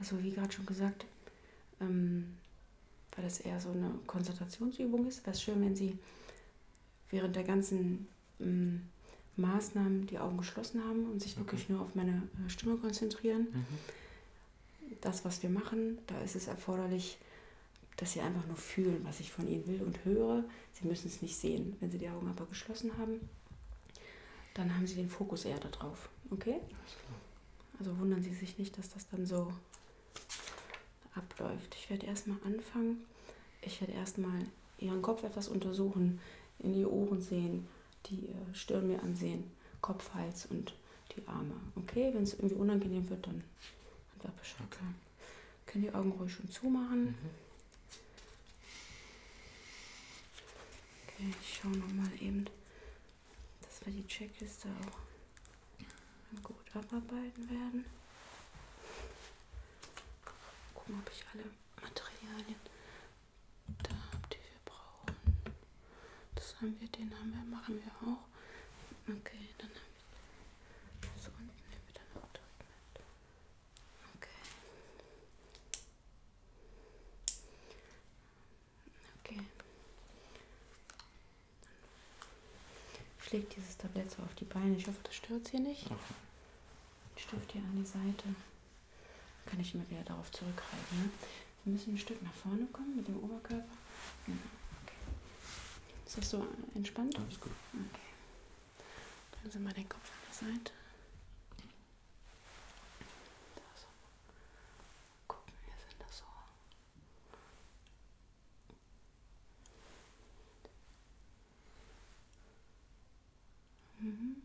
Also wie gerade schon gesagt, ähm, weil das eher so eine Konzentrationsübung ist, wäre es schön, wenn Sie während der ganzen ähm, Maßnahmen die Augen geschlossen haben und sich okay. wirklich nur auf meine äh, Stimme konzentrieren. Mhm. Das, was wir machen, da ist es erforderlich, dass sie einfach nur fühlen, was ich von ihnen will und höre. Sie müssen es nicht sehen. Wenn sie die Augen aber geschlossen haben, dann haben sie den Fokus eher darauf. Okay? Also wundern Sie sich nicht, dass das dann so abläuft. Ich werde erstmal anfangen. Ich werde erstmal Ihren Kopf etwas untersuchen, in die Ohren sehen, die äh, Stirn mir ansehen, Kopf, Hals und die Arme. Okay? Wenn es irgendwie unangenehm wird, dann einfach Bescheid okay. sagen. Können die Augen ruhig schon zumachen. Mhm. Okay, ich schaue nochmal eben, dass wir die Checkliste auch gut abarbeiten werden. Gucken, ob ich alle Materialien da habe, die wir brauchen. Das haben wir, den haben wir, machen wir auch. Okay, dann haben so unten nehmen wir dann noch direkt mit. Okay. Okay. Ich lege dieses Tablett so auf die Beine. Ich hoffe, das stört hier nicht. Okay. Den Stift hier an die Seite. Dann kann ich immer wieder darauf zurückhalten. Ne? Wir müssen ein Stück nach vorne kommen mit dem Oberkörper. Ist das so entspannt? Alles gut. Okay. Bringen Sie mal den Kopf an der Seite. Das. Gucken, wir sind das so. Mhm.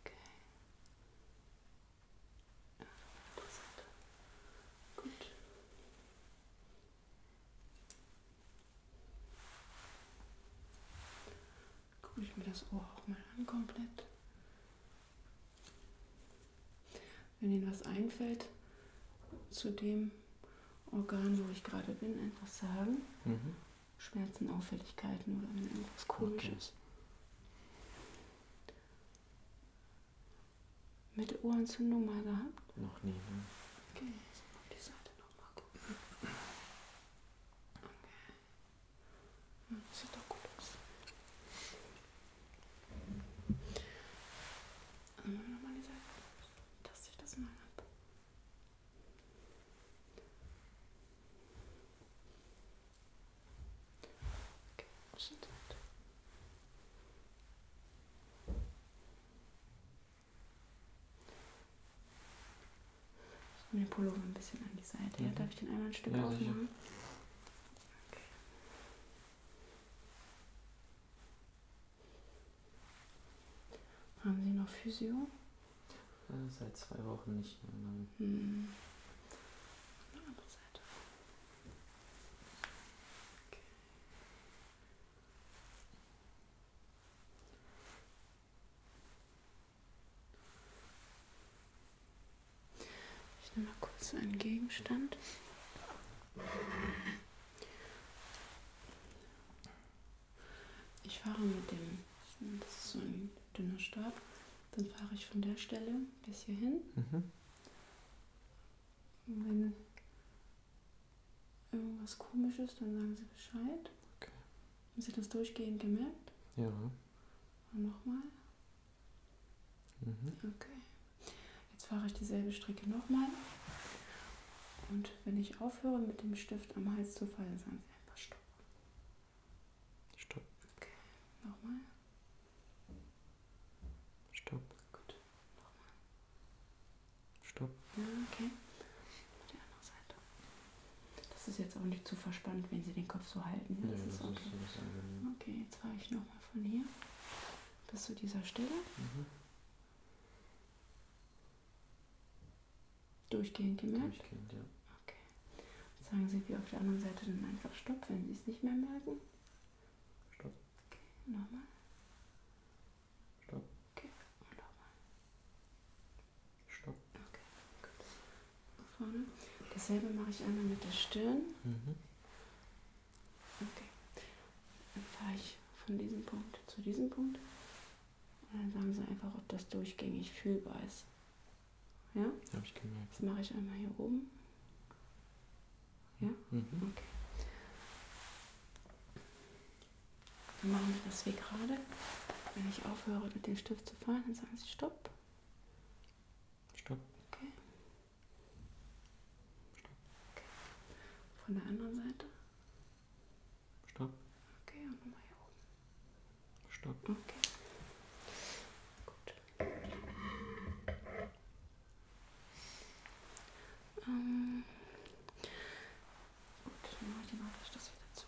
Okay. Ja, Gut. Gucke ich mir das Ohr auch mal an komplett. Wenn Ihnen was einfällt zu dem Organ, wo ich gerade bin, etwas sagen. Mhm. Schmerzen, Auffälligkeiten oder wenn irgendwas komisches. Okay. Mittelohrentzündung mal gehabt? Noch nie, ne? Okay, jetzt mal auf die Seite nochmal gucken. Okay. Das sieht doch gut aus. Dann also, machen wir nochmal die Seite. Taste ich das mal ab. Okay, Schnitt. Ich nehme den Pullover ein bisschen an die Seite. Ja, mhm. darf ich den einmal ein Stück ja, aufmachen? Okay. Haben Sie noch Physio? Äh, seit zwei Wochen nicht mehr, nein. Hm. Andere Seite. Okay. Ich nehme mal kurz einen Gegenstand. Ich fahre mit dem, das ist so ein dünner Stab, dann fahre ich von der Stelle bis hierhin. Mhm. Und wenn irgendwas komisch ist, dann sagen sie Bescheid. Okay. Haben sie das durchgehend gemerkt? Ja. Und nochmal. Mhm. Okay. Jetzt fahre ich dieselbe Strecke nochmal. Und wenn ich aufhöre mit dem Stift am Hals zu fallen, sagen sie Einfach stopp. Stopp. Okay, nochmal. Stopp. Gut, nochmal. Stopp. Ja, okay. Die andere Seite. Das ist jetzt auch nicht zu verspannt, wenn Sie den Kopf so halten. Ja, das, ja, das ist okay. Ist okay, jetzt fahre ich nochmal von hier bis zu dieser Stelle. Mhm. Durchgehend gemerkt? Durchgehend, ja. Okay. Sagen Sie wie auf der anderen Seite dann einfach Stopp, wenn Sie es nicht mehr merken? Stopp. Okay, nochmal. Stopp. Okay, und nochmal. Stopp. Okay, gut. Nach vorne. Dasselbe mache ich einmal mit der Stirn. Mhm. Okay. Dann fahre ich von diesem Punkt zu diesem Punkt dann sagen sie einfach, ob das durchgängig fühlbar ist. Ja? Habe ich gemerkt. Das mache ich einmal hier oben. Ja? Mhm. Okay. Dann machen wir das wie gerade. Wenn ich aufhöre, mit dem Stift zu fahren, dann sagen sie Stopp. Stopp. Okay. Stopp. okay. Von der anderen Seite. Stopp. Okay, und nochmal hier oben. Stopp. Okay. Gut. Ähm. Gut, dann mache ich automatisch das wieder zu.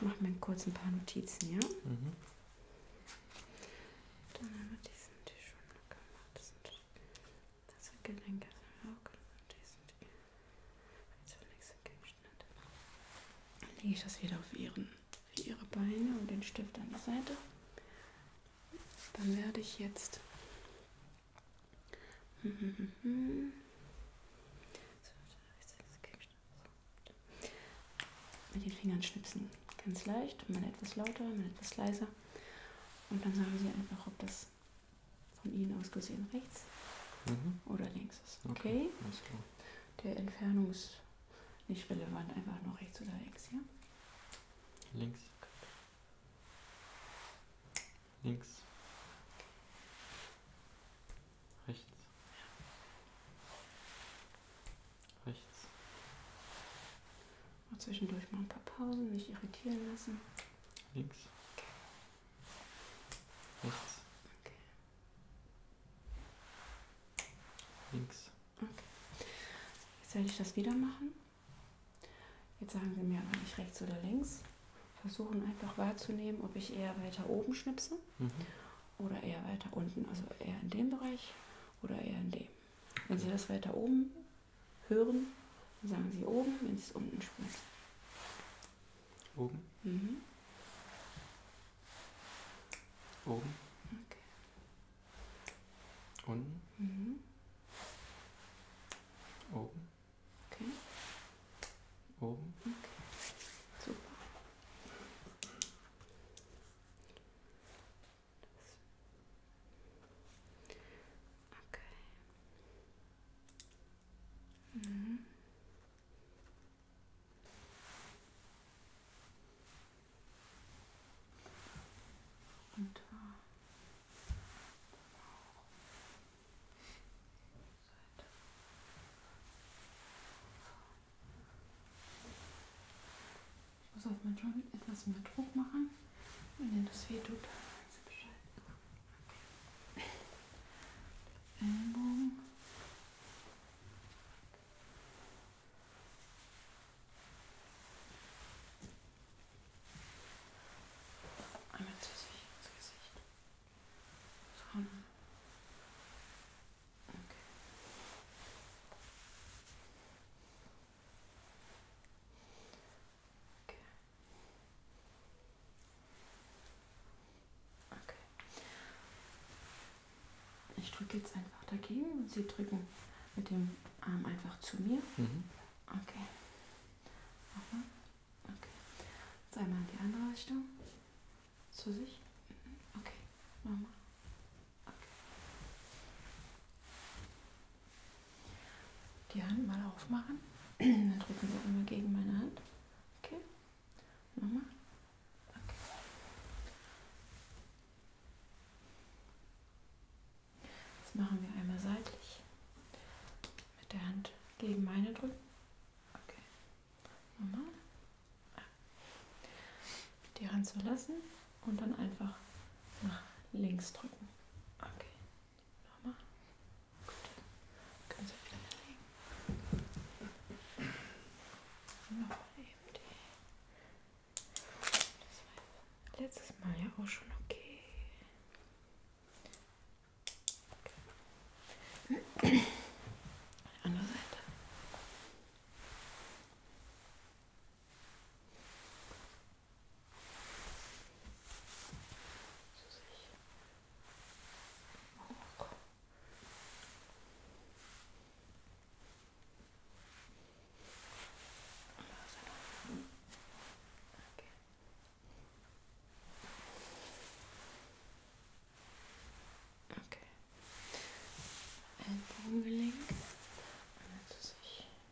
Gut. Machen wir kurz ein paar Notizen, ja? Mhm. Dann haben wir diesen Tisch schon gemacht. Das sind das Gelenk ist im Auge und die sind zunächst Gegenstände. Lege ich das wieder auf ihren, auf ihre Beine und den Stift an die Seite. Dann werde ich jetzt mit den Fingern schnipsen. Ganz leicht, mal etwas lauter, mal etwas leiser. Und dann sagen Sie einfach, ob das von Ihnen aus gesehen rechts mhm. oder links ist. Okay? okay. Alles klar. Der Entfernung ist nicht relevant, einfach nur rechts oder links, ja? Links. Links. Rechts. Ja. Rechts. Auch zwischendurch mal ein paar Pausen, nicht irritieren lassen. Links. Okay. Rechts. Okay. Links. Okay. Jetzt werde ich das wieder machen. Jetzt sagen Sie mir aber nicht rechts oder links. Versuchen einfach wahrzunehmen, ob ich eher weiter oben schnipse mhm. oder eher weiter unten, also eher in dem Bereich oder eher in dem. Wenn Sie das weiter oben hören, dann sagen sie oben, wenn sie es unten spielen. Oben? Mhm. Oben. Okay. Unten. Mhm. Oben. Okay. Oben. Okay. Super. Okay. Mm -hmm. Und Seite. Ich muss das manchmal mit etwas mehr Druck machen. Und wenn das weh tut, weißt du Bescheid. Okay. Ellenbogen. Einmal zu sich, ins Gesicht. Von Okay. Okay. Okay. Ich drücke jetzt einfach dagegen und Sie drücken mit dem Arm einfach zu mir. Mhm. Okay. Nochmal. Okay. Jetzt einmal in die andere Richtung. Zu sich. Mhm. Okay. Nochmal. Okay. Die Hand mal aufmachen. Dann drücken wir einmal gegen meine Hand. Okay. Nochmal. Okay. Jetzt machen wir einmal seitlich. Mit der Hand gegen meine drücken. Okay. Nochmal. Ah. Die Hand zu lassen und dann einfach nach links drücken. Okay. Nochmal. Gut. Können Sie wieder hinlegen. Nochmal eben die. Das war letztes Mal ja auch schon okay. okay. Andere Seite zu sich auch Okay. Okay. Ellenbogengelenk. Also sich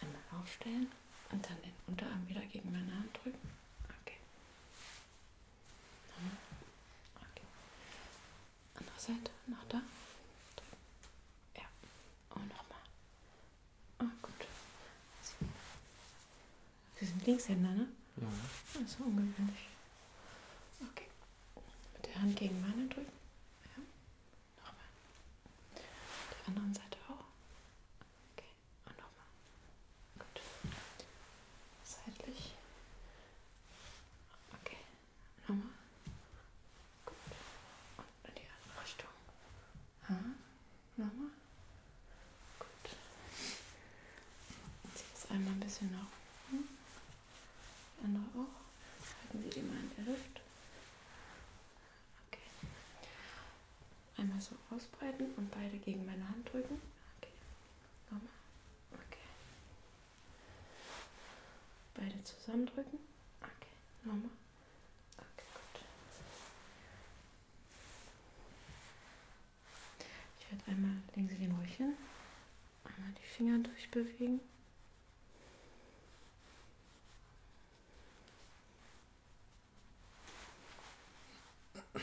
Einmal aufstellen und dann den Unterarm wieder gegen meine Hand drücken. Okay. okay. Andere Seite, noch da. Drücken. Ja. Und nochmal. Ah, gut. Sie sind Linkshänder, ne? Ja. Das ist ungewöhnlich. Okay. Mit der Hand gegen meine drücken. Ja. Nochmal. Die anderen Seite auch. Okay. Und nochmal. Gut. Seitlich. Okay. Nochmal. Gut. Und in die andere Richtung. Ha. Nochmal. Gut. Zieh das einmal ein bisschen nach oben. Die andere auch. Halten Sie die mal in der Luft. Okay. Einmal so ausbreiten und beide gegen meine Hand drücken. Okay. Nochmal. Okay. Beide zusammendrücken. Okay. Nochmal. Okay, gut. Ich werde einmal, legen Sie den ruhig hin. Mal die Finger durchbewegen. Gut.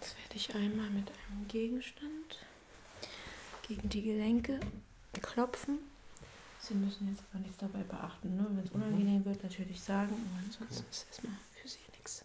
Okay. Jetzt werde ich einmal mit einem Gegenstand gegen die Gelenke klopfen. Sie müssen jetzt aber nichts dabei beachten. Ne? Wenn es mhm. unangenehm wird, natürlich sagen. Aber ansonsten ist erstmal für Sie nichts.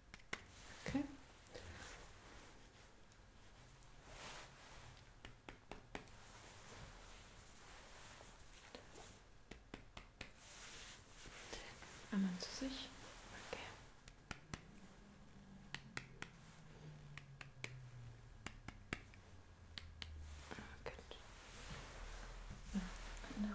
Okay. Einmal zu sich. Okay. Okay. Ja, andere.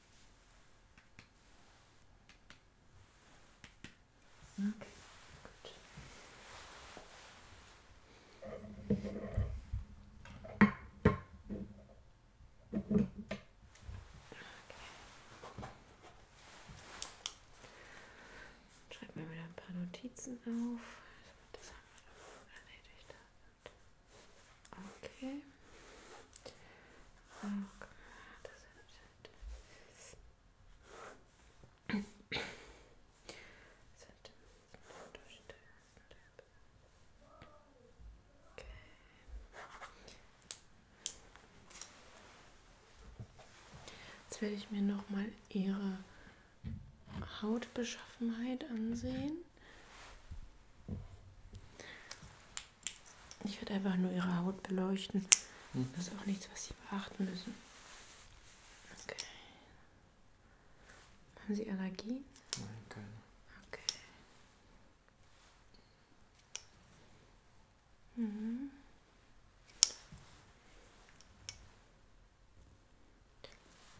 Okay, gut. Okay. Schreiben wir wieder ein paar Notizen auf. Also, das haben wir erledigt. Okay. okay. Oh Jetzt werde ich mir nochmal ihre Hautbeschaffenheit ansehen. Ich werde einfach nur ihre Haut beleuchten. Mhm. Das ist auch nichts, was sie beachten müssen. Okay. Haben Sie Allergie? Nein, keine. Okay. Mhm.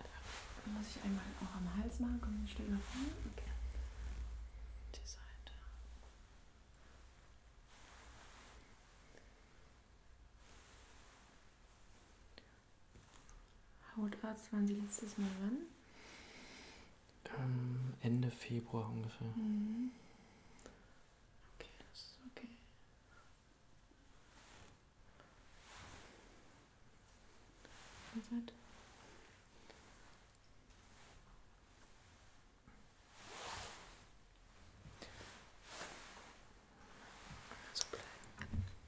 Okay. Muss ich einmal auch am Hals machen? Komm, wir stellen nach vorne. Okay. Die Seite. Hautarzt waren Sie letztes Mal wann? Ähm, Ende Februar ungefähr. Mhm. Okay, das ist okay. So bleiben.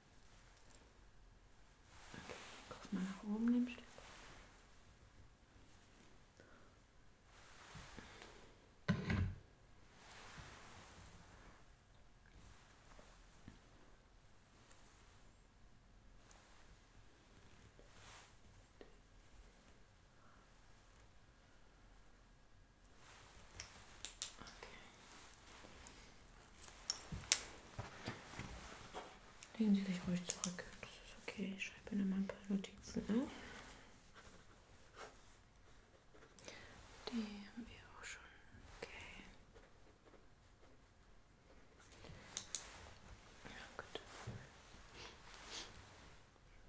Okay, guck mal nach oben dem Stück. Okay. Legen Sie sich ruhig zurück. Das ist okay. Ich schreibe Ihnen mal ein paar Notizen auf. Ne? Die haben wir auch schon. Okay. Ja, gut.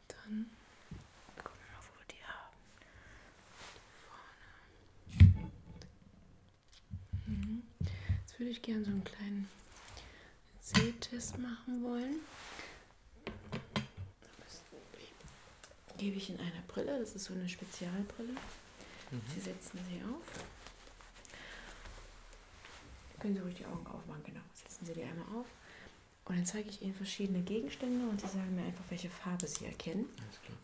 Dann gucken wir mal, wo wir die haben. Vorne. Mhm. Jetzt würde ich gerne so einen kleinen Sehtest machen wollen. Gebe ich in einer Brille, das ist so eine Spezialbrille. Mhm. Sie setzen sie auf. Können Sie ruhig die Augen aufmachen, genau. Setzen Sie die einmal auf. Und dann zeige ich Ihnen verschiedene Gegenstände und Sie sagen mir einfach, welche Farbe Sie erkennen. Alles klar.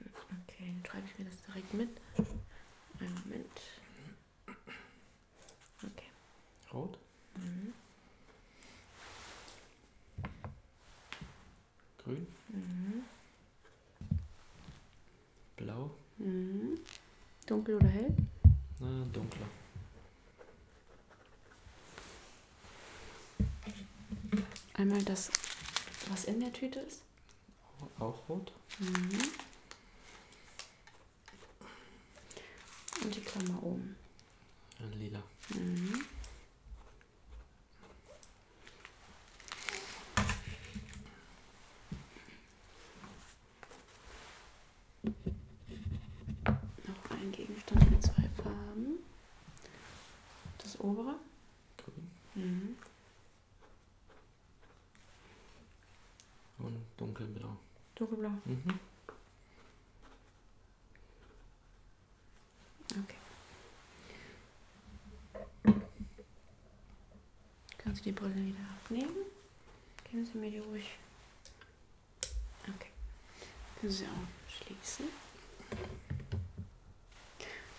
Okay, dann schreibe ich mir das direkt mit. Einen Moment. Okay. Rot? Mhm. Grün? Mhm. Blau? Mhm. Dunkel oder hell? Na, dunkler. Einmal das, was in der Tüte ist. Auch rot. Mhm. Und die Klammer oben. Ein lila. Mhm. Noch ein Gegenstand mit zwei Farben. Das obere. Grün. Mhm. Und dunkelblau. Dunkelblau. Mhm. Okay. Kannst du die Brille wieder abnehmen? Geben Sie mir die ruhig Okay. Können Sie auch schließen.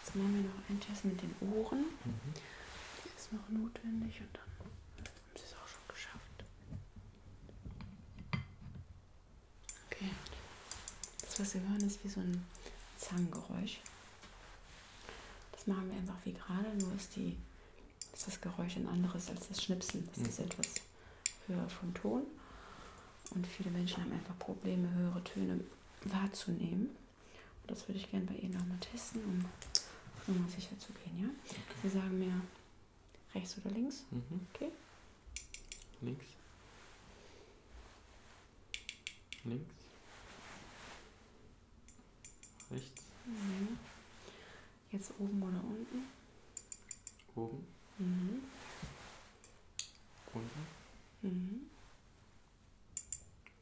Jetzt machen wir noch einen Test mit den Ohren. Mhm. Der ist noch notwendig und dann haben Sie es auch schon geschafft. Okay. Das, was Sie hören, ist wie so ein Zangengeräusch. Das machen wir einfach wie gerade, nur ist, die, ist das Geräusch ein anderes als das Schnipsen. Das mhm. ist etwas Höhe von Ton. Und viele Menschen haben einfach Probleme, höhere Töne wahrzunehmen. Und das würde ich gerne bei Ihnen auch mal testen, um nochmal sicher zu gehen. Ja? Okay. Sie sagen mir rechts oder links? Mhm. Okay. Links. Links. Rechts. Mhm. Jetzt oben oder unten? Oben. Mhm. Unten. Mhm.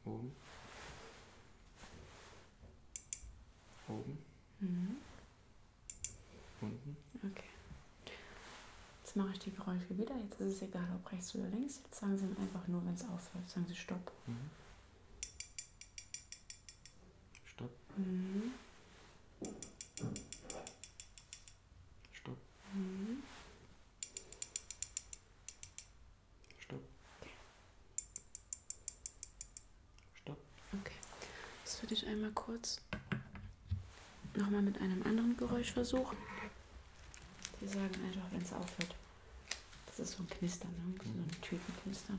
Oben. Oben. Mhm. Unten. Okay. Jetzt mache ich die Geräusche wieder. Jetzt ist es egal, ob rechts oder links. Jetzt sagen Sie einfach nur, wenn es aufhört. Sagen Sie Stopp. Mhm. Stopp. Mhm. Stopp. Mhm. Stopp. Okay. Stopp. Okay. Das würde ich einmal kurz nochmal mit einem anderen Geräusch versuchen. Die sagen einfach, wenn es aufhört. Das ist so ein Knistern, ne? so ein Tütenknistern.